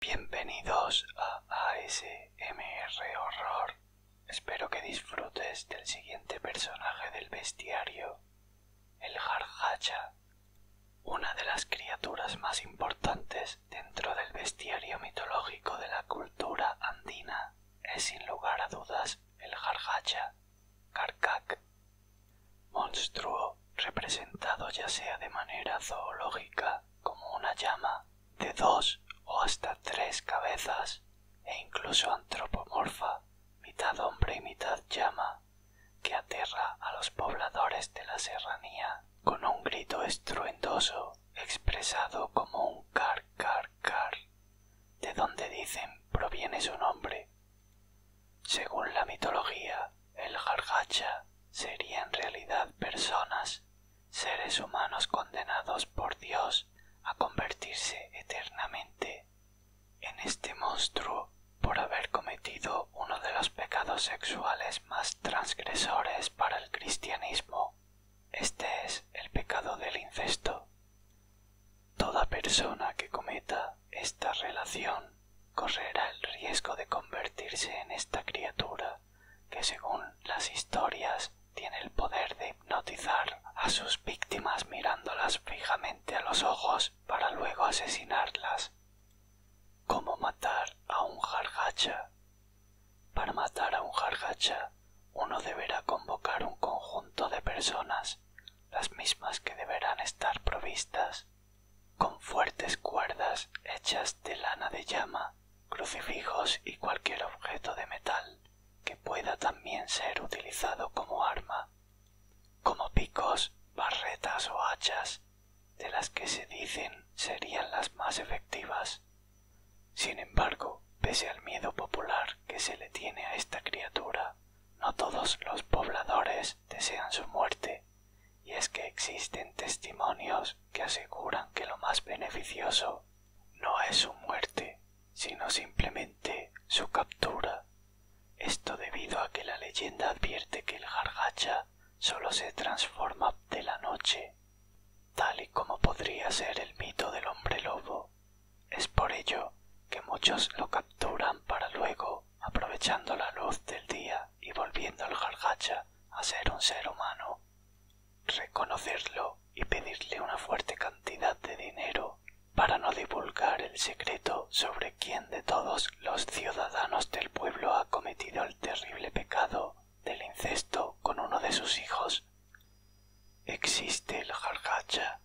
Bienvenidos a ASMR Horror. Espero que disfrutes del siguiente personaje del bestiario, el Jarjacha, una de las criaturas más importantes dentro del bestiario mitológico de la cultura andina es sin lugar a dudas el Jarjacha, Karkak, monstruo representado ya sea de manera zoológica como una llama de dos o hasta tres cabezas e incluso antropomorfa, mitad hombre y mitad llama, que aterra a los pobladores de la serranía con un grito estruendoso expresado como un car car car, de donde dicen proviene su nombre. Según la mitología, el jargacha sería en realidad personas, seres humanos condenados por Dios a convertirse eternamente en este monstruo por haber cometido uno de los pecados sexuales más transgresores para el cristianismo, este es el pecado del incesto. Toda persona que cometa esta relación correrá el riesgo de convertirse en esta criatura que según las historias tiene el poder de hipnotizar a sus víctimas mirándolas fijamente a los ojos para luego asesinarlas. ¿Cómo matar a un jargacha? Para matar a un jargacha, uno deberá convocar un conjunto de personas, las mismas que deberán estar provistas con fuertes cuerdas hechas de lana de llama, crucifijos y cualquier objeto de metal que pueda también ser utilizado como arma como picos, barretas o hachas, de las que se dicen serían las más efectivas. Sin embargo, pese al miedo popular que se le tiene a esta criatura, no todos los pobladores desean su muerte, y es que existen testimonios que aseguran que lo más beneficioso no es su muerte, sino simplemente su captura. Esto debido a que la leyenda advierte que el jargacha solo se transforma de la noche, tal y como podría ser el mito del hombre lobo. Es por ello que muchos lo capturan para luego, aprovechando la luz del día y volviendo al jargacha a ser un ser humano reconocerlo y pedirle una fuerte cantidad de dinero para no divulgar el secreto sobre quién de todos los ciudadanos del pueblo ha cometido el terrible pecado del incesto con uno de sus hijos. Existe el jargacha.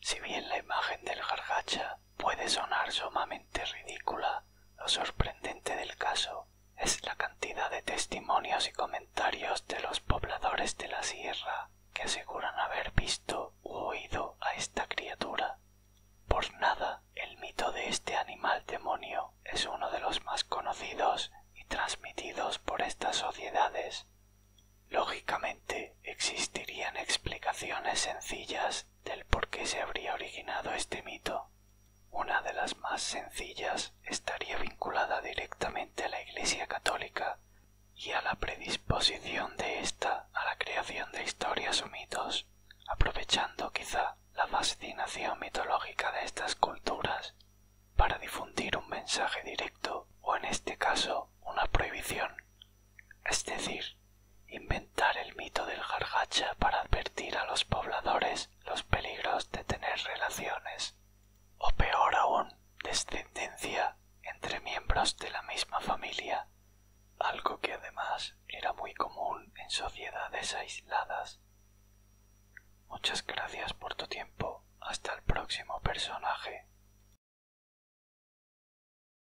Si bien la imagen del jargacha puede sonar sumamente ridícula, lo sorprendente del caso es la cantidad de testimonios y comentarios de los pobladores de la sierra que aseguran haber visto u oído a esta criatura. Por nada el mito de este animal demonio es uno de los más conocidos y transmitidos por estas sociedades. Lógicamente existirían explicaciones sencillas del por qué se habría originado este mito. Una de las más sencillas estaría vinculada directamente a la Iglesia Católica y a la predisposición de ésta a la creación de historias o mitos, aprovechando quizá la fascinación mitológica de estas culturas para difundir un mensaje directo o en este caso una prohibición, es decir, inventar el mito del gargacha para advertir a los pobladores los peligros de tener relaciones, o peor aún, descendencia entre miembros de la misma familia, algo que además era muy común en sociedades aisladas. Muchas gracias por tu tiempo. Hasta el próximo personaje.